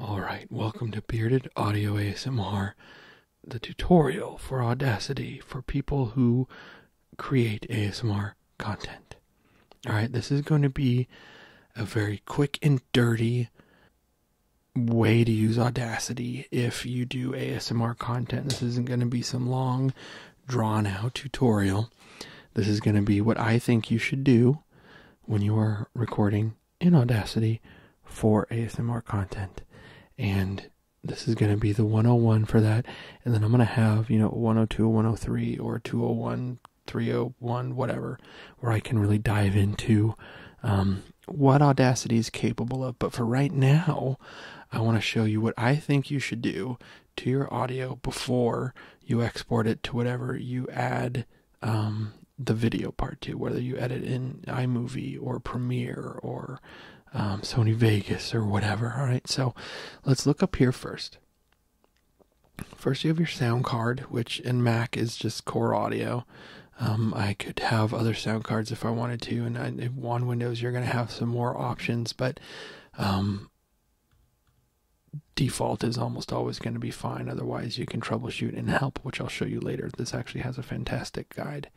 Alright, welcome to Bearded Audio ASMR, the tutorial for Audacity for people who create ASMR content. All right, this is going to be a very quick and dirty way to use Audacity if you do ASMR content. This isn't going to be some long, drawn out tutorial. This is going to be what I think you should do when you are recording in Audacity for ASMR content. And this is going to be the 101 for that. And then I'm going to have, you know, 102, 103, or 201 301, whatever, where I can really dive into um, what Audacity is capable of. But for right now, I want to show you what I think you should do to your audio before you export it to whatever you add um, the video part to, whether you edit in iMovie or Premiere or um, Sony Vegas or whatever. All right, so let's look up here first. First, you have your sound card, which in Mac is just core audio. Um, I could have other sound cards if I wanted to, and I, on Windows, you're going to have some more options, but um, default is almost always going to be fine. Otherwise, you can troubleshoot in help, which I'll show you later. This actually has a fantastic guide.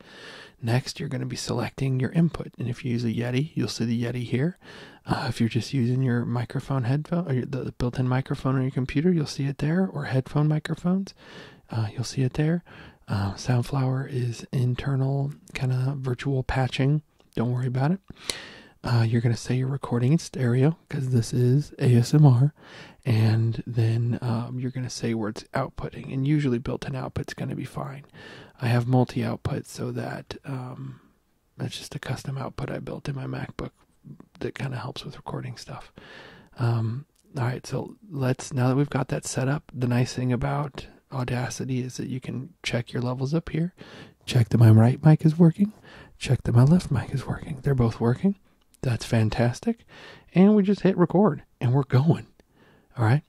Next, you're going to be selecting your input, and if you use a Yeti, you'll see the Yeti here. Uh, if you're just using your microphone headphone or the built-in microphone on your computer, you'll see it there. Or headphone microphones, uh, you'll see it there. Uh, Soundflower is internal kind of virtual patching. Don't worry about it. you're going to say you're recording stereo because this is ASMR. And then um, you're going to say where it's outputting. And usually built in output's going to be fine. I have multi output so that um, that's just a custom output I built in my MacBook that kind of helps with recording stuff. Um, all right, so let's now that we've got that set up, the nice thing about Audacity is that you can check your levels up here, check that my right mic is working, check that my left mic is working. They're both working. That's fantastic. And we just hit record and we're going. All right.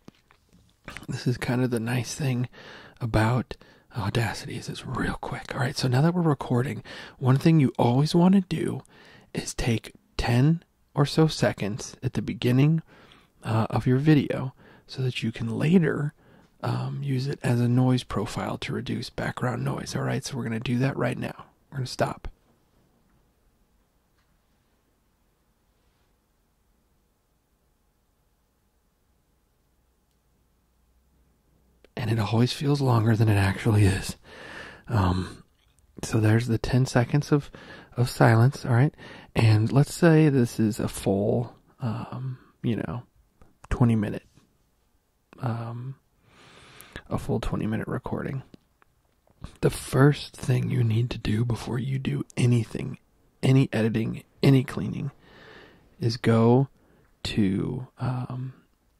This is kind of the nice thing about Audacity is it's real quick. All right, so now that we're recording, one thing you always want to do is take 10 or so seconds at the beginning uh, of your video so that you can later um, use it as a noise profile to reduce background noise. All right, so we're going to do that right now. We're going to stop. And it always feels longer than it actually is. Um, so there's the 10 seconds of, silence, all right? And let's say this is a full, um, you know, 20 minute, um, a full 20 minute recording. The first thing you need to do before you do anything any editing, any cleaning, is go to um,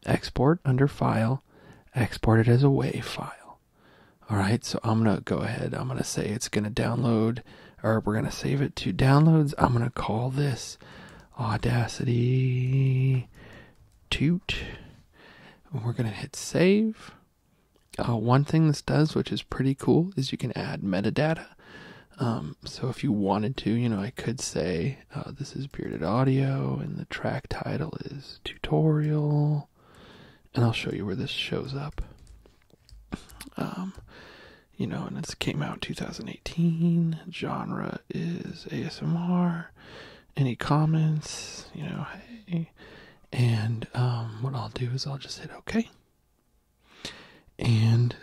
export under file, export it as a WAV file. All right, so I'm going to go ahead. I'm going to say it's going to download, or we're going to save it to downloads. I'm going to call this Audacity Toot. And we're going to hit save. Uh, one thing this does, which is pretty cool, is you can add metadata. Um, so if you wanted to, you know, I could say uh, this is Bearded Audio, and the track title is Tutorial, and I'll show you where this shows up. Um, you know, and it's came out 2018. Genre is ASMR. Any comments? You know, hey. And um, what I'll do is I'll just hit OK and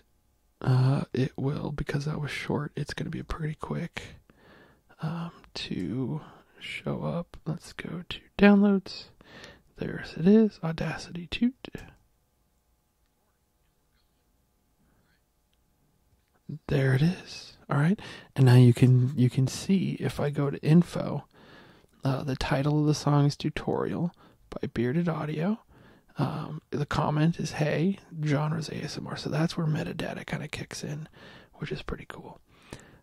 uh, it will because that was short. It's going to be pretty quick um, to show up. Let's go to downloads. There it is, Audacity Two. There it is. All right, and now you can you can see if I go to info, uh, the title of the song is tutorial by Bearded Audio. Um, the comment is, hey, genres ASMR. So that's where metadata kind of kicks in, which is pretty cool.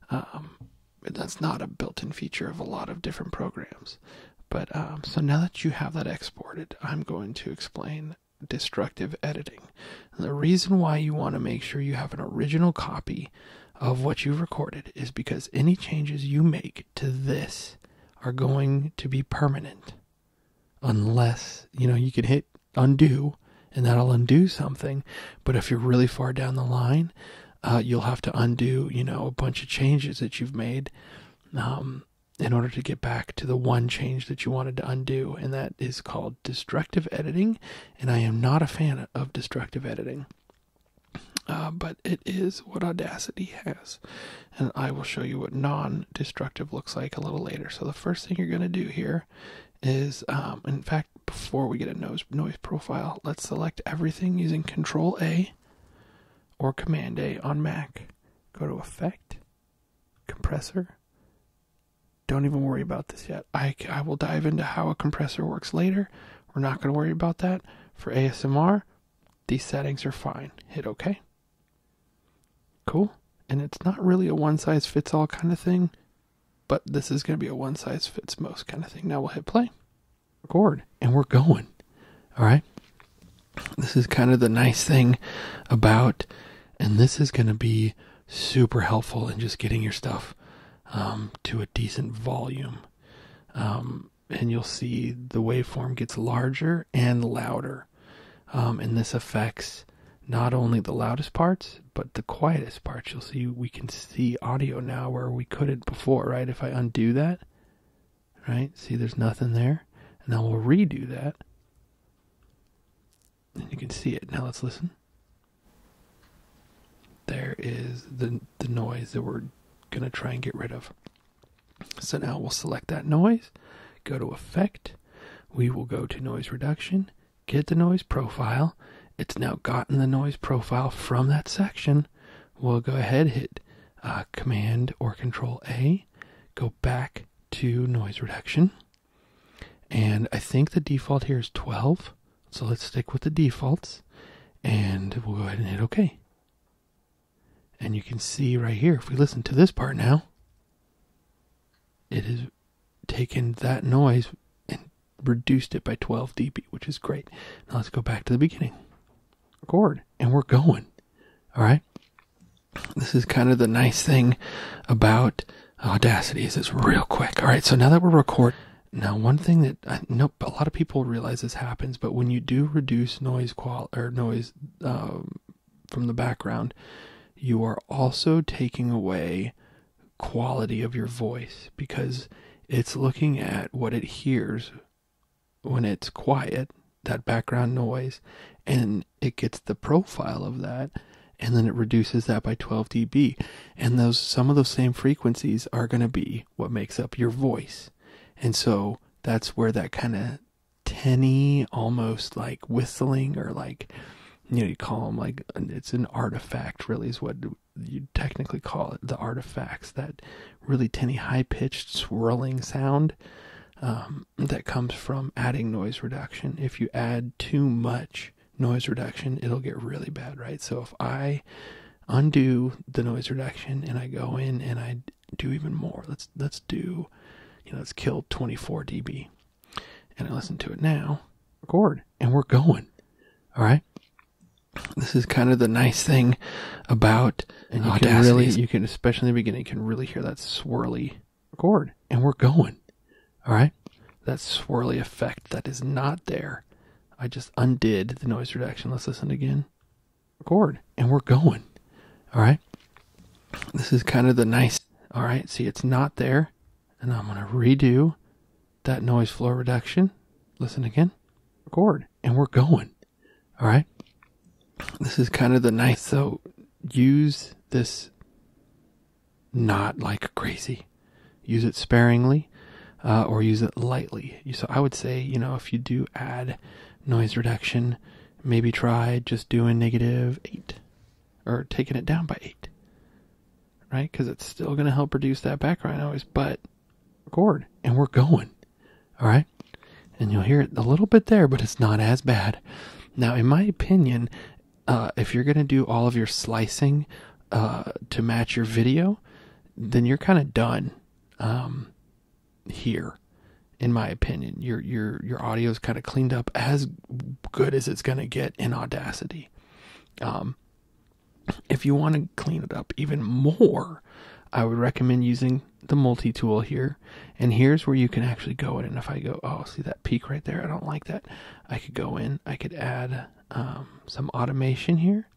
Um, that's not a built in feature of a lot of different programs. But um, so now that you have that exported, I'm going to explain destructive editing. the reason why you want to make sure you have an original copy of what you've recorded is because any changes you make to this are going to be permanent unless, you know, you could hit undo and that'll undo something. But if you're really far down the line, uh, you'll have to undo, you know, a bunch of changes that you've made um, in order to get back to the one change that you wanted to undo. And that is called destructive editing. And I am not a fan of destructive editing. Uh, but it is what Audacity has. And I will show you what non destructive looks like a little later. So, the first thing you're going to do here is, um, in fact, before we get a noise, noise profile, let's select everything using Control A or Command A on Mac. Go to Effect, Compressor. Don't even worry about this yet. I, I will dive into how a compressor works later. We're not going to worry about that. For ASMR, these settings are fine. Hit OK. Cool. And it's not really a one size fits all kind of thing, but this is going to be a one size fits most kind of thing. Now we'll hit play, record, and we're going. All right. This is kind of the nice thing about, and this is going to be super helpful in just getting your stuff um, to a decent volume. Um, and you'll see the waveform gets larger and louder. Um, and this affects not only the loudest parts, but the quietest parts. You'll see we can see audio now where we couldn't before, right? If I undo that, right? See, there's nothing there. And then we'll redo that. And you can see it. Now let's listen. There is the, the noise that we're going to try and get rid of. So now we'll select that noise, go to effect, we will go to noise reduction, get the noise profile. It's now gotten the noise profile from that section. We'll go ahead, hit uh, Command or Control A, go back to noise reduction. And I think the default here is 12. So let's stick with the defaults and we'll go ahead and hit OK. And you can see right here, if we listen to this part now, it has taken that noise and reduced it by 12 dB, which is great. Now let's go back to the beginning. Record, and we're going. All right. This is kind of the nice thing about Audacity is it's real quick. All right. So now that we're recording, now, one thing that uh, nope, a lot of people realize this happens, but when you do reduce noise or noise um, from the background, you are also taking away quality of your voice because it's looking at what it hears when it's quiet, that background noise, and it gets the profile of that and then it reduces that by 12 dB. And those some of those same frequencies are going to be what makes up your voice. And so that's where that kind of tinny, almost like whistling or like, you know, you call them like it's an artifact, really, is what you technically call it the artifacts that really tinny, high pitched, swirling sound um, that comes from adding noise reduction. If you add too much noise reduction, it'll get really bad, right? So if I undo the noise reduction and I go in and I do even more. Let's let's do you know, let's kill 24 dB. And I listen to it now, record, and we're going. All right. This is kind of the nice thing about and you Audacity. can really you can especially in the beginning you can really hear that swirly record and we're going. All right. That swirly effect that is not there I just undid the noise reduction. Let's listen again. Record. And we're going. All right. This is kind of the nice. All right. See, it's not there. And I'm going to redo that noise floor reduction. Listen again. Record. And we're going. All right. This is kind of the nice. So use this not like crazy use it sparingly uh, or use it lightly. So I would say, you know, if you do add noise reduction, maybe try just doing negative eight or taking it down by eight, right? Because it's still going to help reduce that background noise, but record and we're going, all right? And you'll hear it a little bit there, but it's not as bad. Now, in my opinion, uh, if you're going to do all of your slicing uh, to match your video, then you're kind of done um, here in my opinion your your your audio is kind of cleaned up as good as it's going to get in audacity um, if you want to clean it up even more i would recommend using the multi-tool here and here's where you can actually go in and if i go oh see that peak right there i don't like that i could go in i could add um, some automation here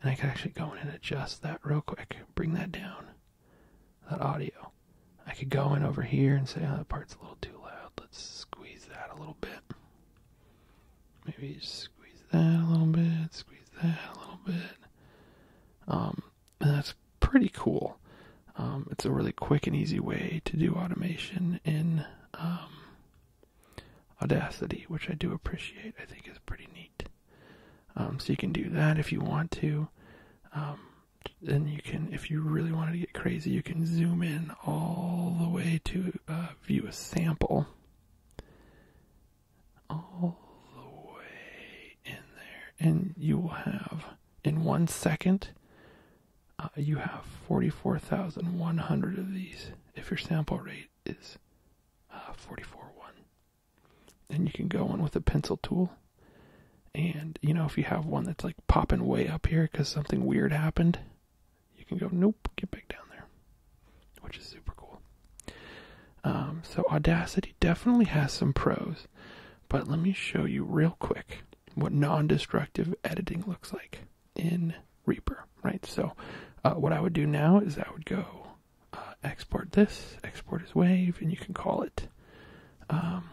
and I could actually go in and adjust that real quick. Bring that down. That audio. I could go in over here and say, oh, that part's a little too loud. Let's squeeze that a little bit. Maybe squeeze that a little bit. Squeeze that a little bit. Um, and that's pretty cool. Um, it's a really quick and easy way to do automation in um, Audacity, which I do appreciate, I think is pretty neat. Um, so you can do that if you want to. Um, then you can, if you really wanted to get crazy, you can zoom in all the way to uh, view a sample. All the way in there. And you will have, in one second, uh, you have 44,100 of these if your sample rate is uh, 44 1. And you can go in with a pencil tool. And, you know, if you have one that's like popping way up here because something weird happened, you can go, nope, get back down there, which is super cool. Um, so, Audacity definitely has some pros, but let me show you real quick what non destructive editing looks like in Reaper, right? So uh, what I would do now is I would go uh, export this, export as wave, and you can call it um,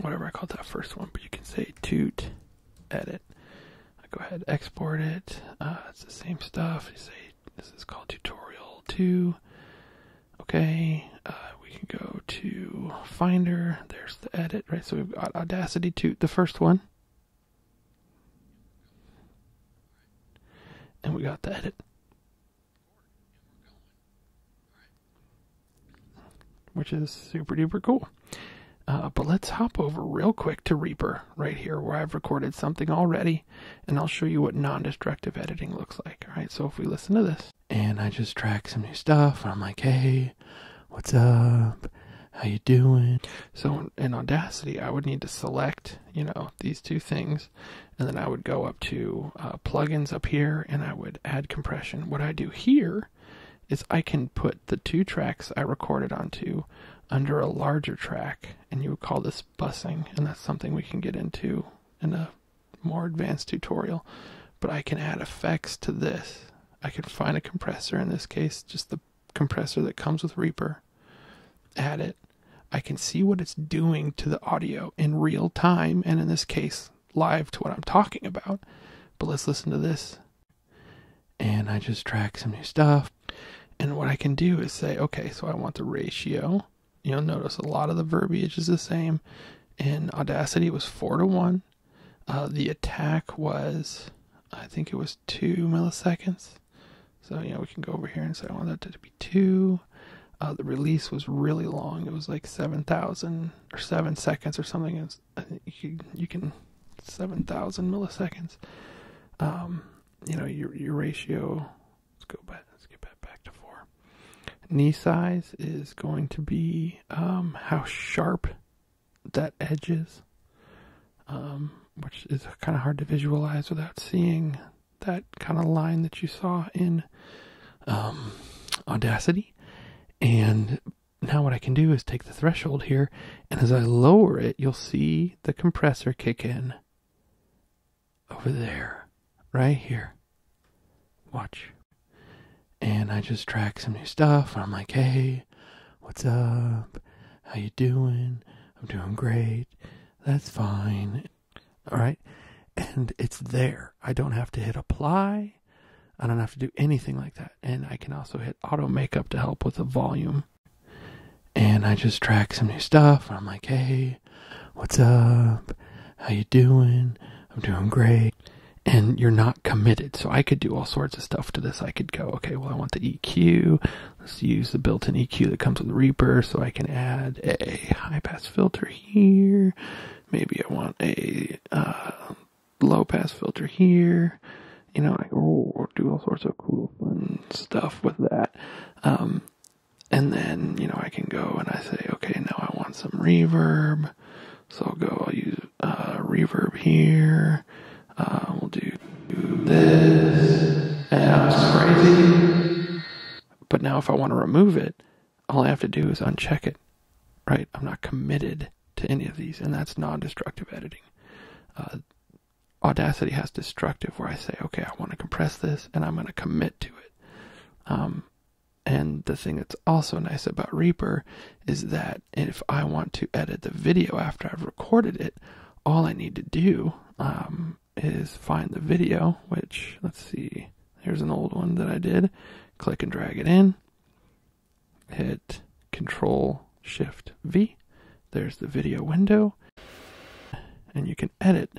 whatever I called that first one, but you can say toot edit. I go ahead, export it. Uh, it's the same stuff. You say this is called tutorial two. Okay, we can go to Finder. There's the edit, right? So we've got Audacity toot, the first one, and we got the edit. Which is super duper cool. Uh, but let's hop over real quick to Reaper right here where I've recorded something already and I'll show you what non-destructive editing looks like. All right, so if we listen to this and I just track some new stuff, I'm like, hey, what's up? how you doing? So in Audacity, I would need to select, you know, these two things, and then I would go up to uh, plugins up here, and I would add compression. What I do here is I can put the two tracks I recorded onto under a larger track, and you would call this busing, and that's something we can get into in a more advanced tutorial. But I can add effects to this. I can find a compressor in this case, just the compressor that comes with Reaper add it, I can see what it's doing to the audio in real time, and in this case, live to what I'm talking about. But let's listen to this. And I just track some new stuff. And what I can do is say, okay, so I want the ratio. You'll notice a lot of the verbiage is the same. In Audacity, it was 4 to 1. Uh, the attack was, I think it was 2 milliseconds. So, you know, we can go over here and say I want that to be 2. Uh, the release was really long. It was like 7,000 or 7 seconds or something. Was, uh, you, can 7,000 milliseconds. Um, you know, your, your ratio, let's go back, let's get back, back to 4. Knee size is going to be um, how sharp that edges, um, which is kind of hard to visualize without seeing that kind of line that you saw in um, Audacity. And now what I can do is take the threshold here, and as I lower it, you'll see the compressor kick in over there, right here. Watch. And I just track some new stuff. I'm like, hey, what's up? How you doing? I'm doing great. That's fine. All right. And it's there. I don't have to hit apply. I don't have to do anything like that. And I can also hit auto makeup to help with the volume. And I just track some new stuff. I'm like, hey, what's up? How you doing? I'm doing great. And you're not committed. So I could do all sorts of stuff to this. I could go, okay, well, I want the EQ. Let's use the built-in EQ that comes with Reaper. So I can add a high pass filter here. Maybe I want a uh, low pass filter here. You know, I do all sorts of cool stuff with that. Um, and then, you know, I can go and I say, okay, now I want some reverb. So I'll go, I'll use uh, reverb here. Uh, we'll do this. And that was crazy. But now if I want to remove it, all I have to do is uncheck it, right? I'm not committed to any of these, and that's non-destructive editing. Uh, Audacity has destructive where I say, okay, I want to compress this and I'm going to commit to it. Um, and the thing that's also nice about Reaper is that if I want to edit the video after I've recorded it, all I need to do um, is find the video, which let's see, there's an old one that I did. Click and drag it in, hit Control Shift V. There's the video window, and you can edit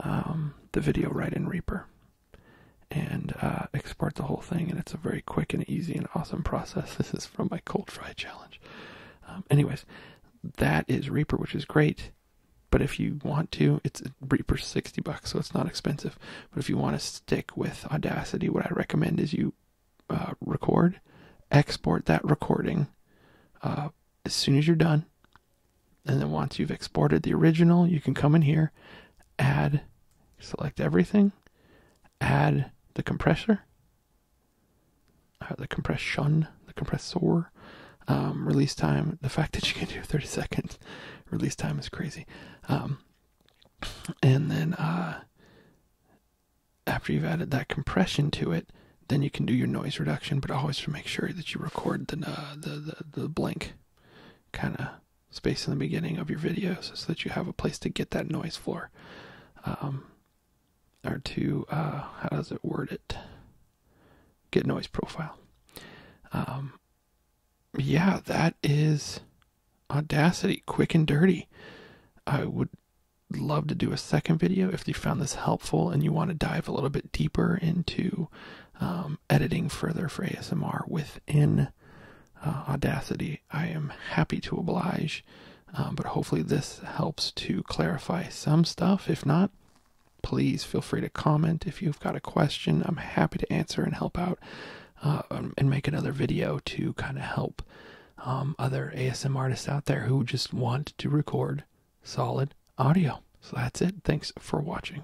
um, the video right in Reaper and uh, export the whole thing, and it's a very quick and easy and awesome process. This is from my cold fry challenge. Um, anyways, that is Reaper, which is great. But if you want to, it's Reaper 60 bucks, so it's not expensive. But if you want to stick with Audacity, what I recommend is you uh, record, export that recording uh, as soon as you're done. And then once you've exported the original, you can come in here, add, select everything, add the compressor, uh, the compression, the compressor, um, release time. The fact that you can do 30 seconds release time is crazy. Um, and then uh, after you've added that compression to it, then you can do your noise reduction, but always make sure that you record the uh, the, the the blank kind of space in the beginning of your videos so that you have a place to get that noise floor. Um, or to, uh, how does it word it? Get noise profile. Um, yeah, that is Audacity, quick and dirty. I would love to do a second video if you found this helpful and you want to dive a little bit deeper into um, editing further for ASMR within uh, Audacity. I, am happy to oblige. Um, but hopefully, this helps to clarify some stuff. If not, please feel free to comment. If you've got a question, I'm happy to answer and help out uh, um, and make another video to kind of help um, other ASM artists out there who just want to record solid audio. So that's it. Thanks for watching.